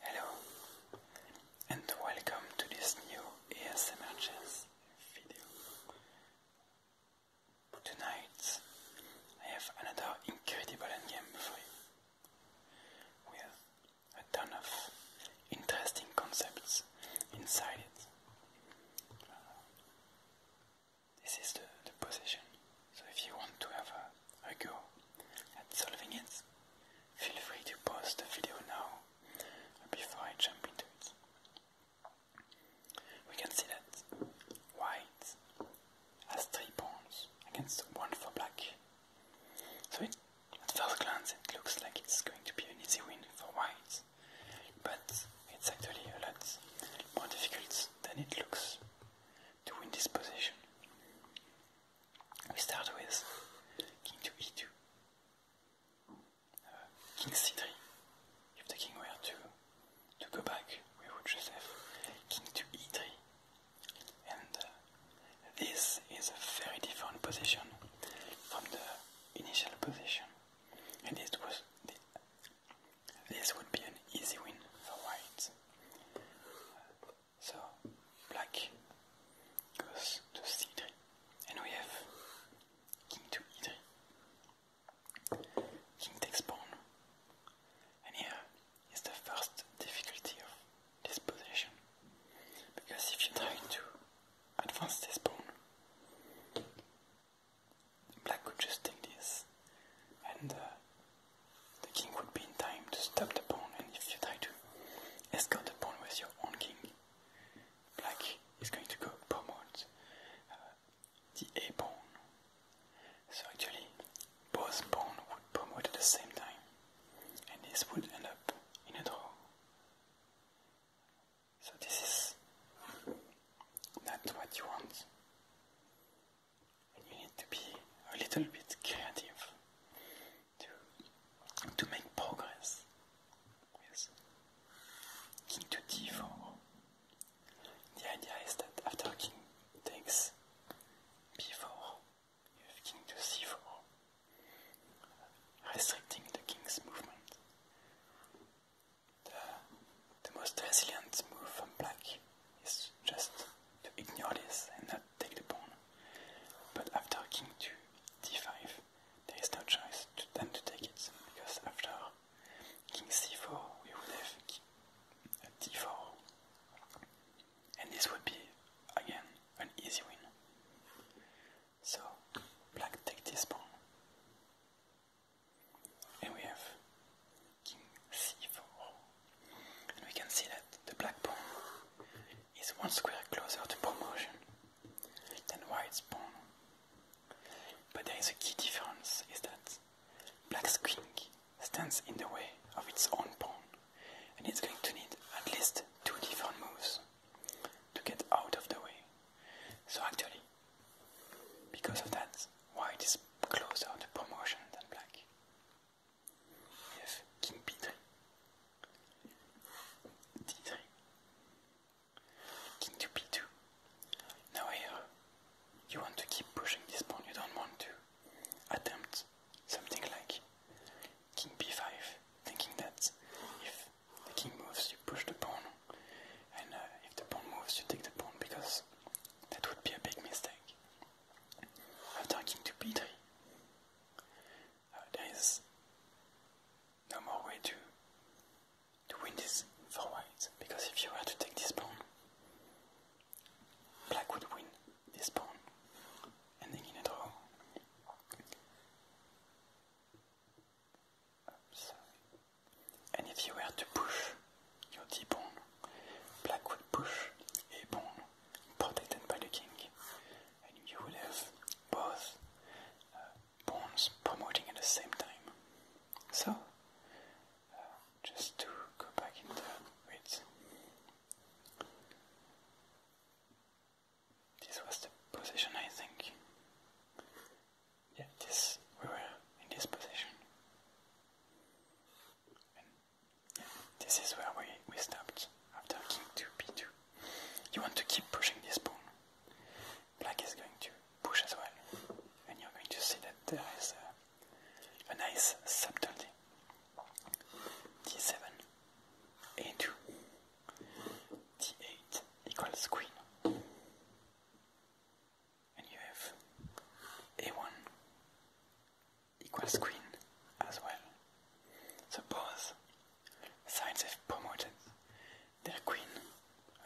Hello and welcome to this new ASMR Jazz video. Tonight I have another incredible endgame for you with a ton of interesting concepts inside it. Uh, this is the position. So if you want to have a, go at solving it, feel free to post the video now before I jump into it. We can see that white has three pawns against one for black. So at first glance it looks like it's going to be an easy win for white, but it's actually a lot more difficult than it looks to win this position. We start with king to e2, uh, king c3. If the king were to to go back, we would just have king to e3, and uh, this is a very different position from the initial position, and it was this would be an easy win for white. So black goes to c3, and we have king to e3. King takes pawn, and here is the first difficulty of this position. Because if you try to advance this pawn, Black could just take this, and uh, the king would be in time to stop the pawn, and if you try to escort the pawn with your own king, Black is going to go promote uh, the A pawn. So actually, both pawns would promote at the same time, and this would end up in a draw. So this is not what you want and you need to be a little bit creative to to make progress. Yes. King to d4. The idea is that after king takes b4, you have king to c4, restricting the king's movement the, most resilient move from black is just to ignore this and not take the pawn. But after king to d5, there is no choice to, than to take it, because after king c4 we would have uh, d 4 and this would be again an easy win. So black take this pawn and we have C4. And we can see that the black pawn is one square closer to promotion than white's pawn. But there is a key difference is that black's king stands in the way of its own pawn and it's going to need at least two different moves to get out of the way. So actually because of that, why is closer to promotion than black. We king b3, d3, king to b2. Now here, you want to keep pushing this pawn, you don't want to attempt something like king b5, thinking that if the king moves, you push the pawn, and uh, if the pawn moves, you take the pawn because that would be a big mistake. After king to b3, uh, there is no more way to to win this for white because if you were to take this pawn, black would win this pawn, ending in a draw. Oops. to push your d-pawn, black would push a pawn protected by the king, and you would have both uh, pawns promoting at the same time. So, uh, just to go back in the wait. This was the position, I think yeah, this we were in this position, and yeah, this is where we we stopped after king two b2. You want to keep pushing this pawn. Black is going to push as well, and you're going to see that there is a, a nice subtlety. d7, a2, t 8 equals queen. And you have a1 equals queen as well. So both sides have promoted their queen,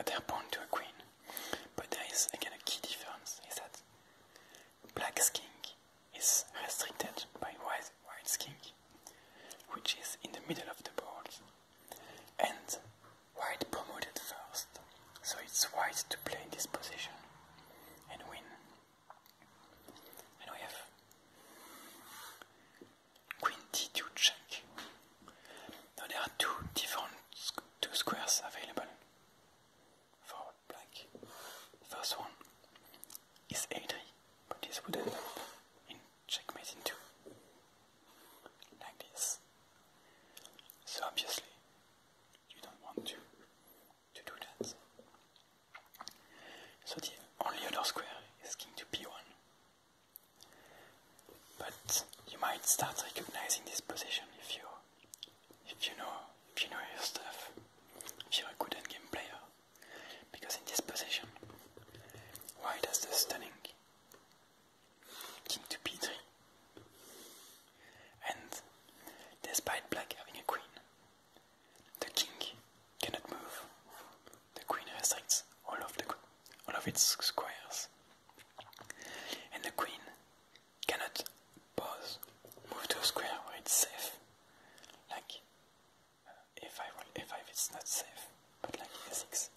uh, their pawn to a queen. But there is again a key difference, is that black king is restricted by white white king, which is in the middle of the board and white promoted first, so it's white to play in this position and win. And we have queen d2 check. Now there are two different two squares available for black. First one is a3, but this would end up checkmate into Like this. So obviously, you don't want to, to do that. So the only other square is king to b1. But you might start recognizing this position if you if you know if you know your stuff, if you're a good endgame player. Because in this position, why does the stunning king to b3? And despite black having a queen, the king cannot move. The queen restricts all of the all of its squares, and the queen cannot pause, move to a square where it's safe, like if I if f5 it's not safe, but like a6.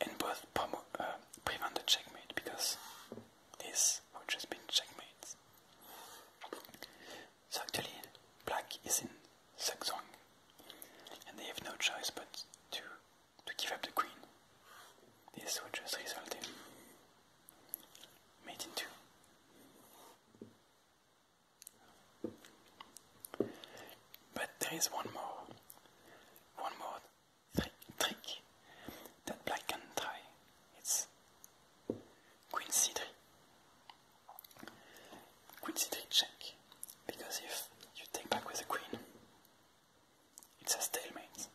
And both promote uh, prevent the checkmate because this would just be checkmate. So actually, black is in Sugzwang, and they have no choice but to, to give up the queen. This would just result in mate in 2. But there is one more, one more trick that black can try. It's Quincy tree. Quincy tree check, because if you take back with the queen, it's a stalemate.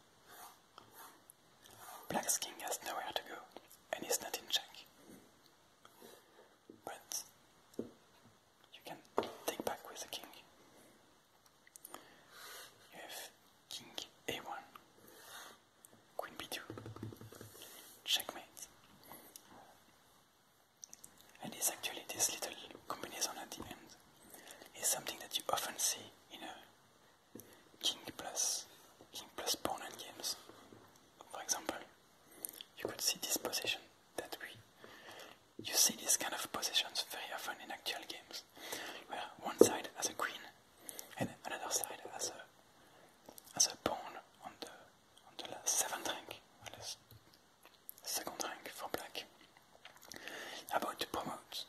Black's king has nowhere to go, and is not in check but you can take back with the king. You have king a1, queen b2, checkmate. And it's actually this little combination at the end is something that you often see in a king plus king plus pawn end games. For example, you could see this position that we you see these kind of positions very often in actual games, where one side has a queen and another side has a has a pawn on the on the seventh rank, or the second rank for black, about to promote,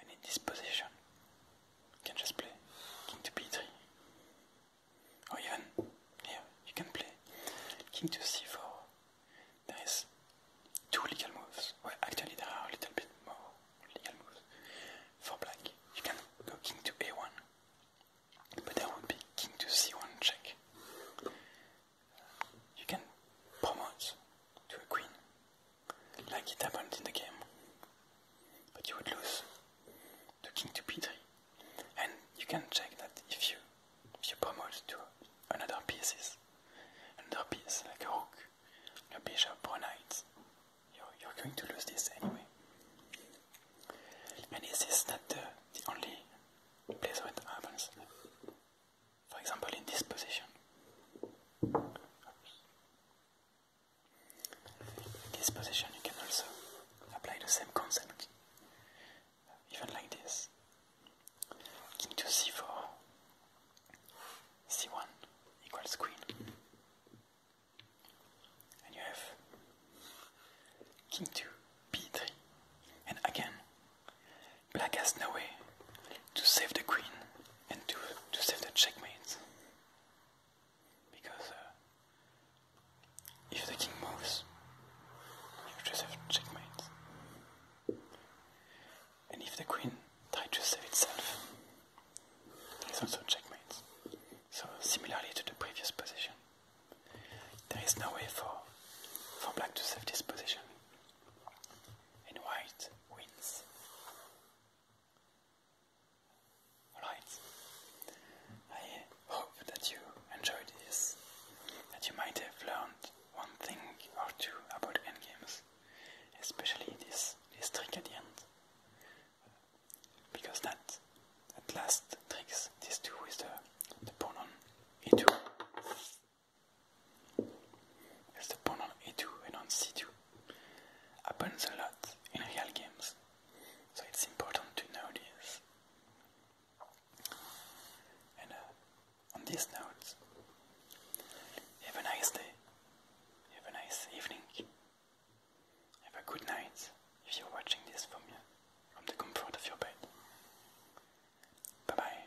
and in this position, you can just play king to b3 or even here you can play king to c4 there is two legal moves well actually there are a little bit more legal moves for black you can go king to a1 but there would be king to c1 check you can promote to a queen like it happened in the game. But you would lose the king to p3. And you can check that if you you promote to another pieces, another piece like a rook, a bishop a knight, you're, you're going to lose this anyway. And this is not the, only place where it happens. For example, in this position this position you can also apply the same concept, even like this. King to c4, c1 equals queen. And you have king to b3. And again, black has no way to save the queen and to, to save the checkmate. Because if uh, the king moves, you just have checkmate. And if the queen tries to save itself, it's also checkmate. So similarly to the previous position, there is no way for, for black to save this position. And white wins. Alright, I hope that you enjoyed this, that you might have learned one thing or two about end games, especially this, this trick at the end, because that, that last tricks, this two with the, the pawn into. There's the pawn on a2 and on c2. Happens a lot in real games, so it's important to know this. And uh, on these notes, have a nice day, have a nice evening, have a good night if you're watching this from, your, from the comfort of your bed. Bye bye.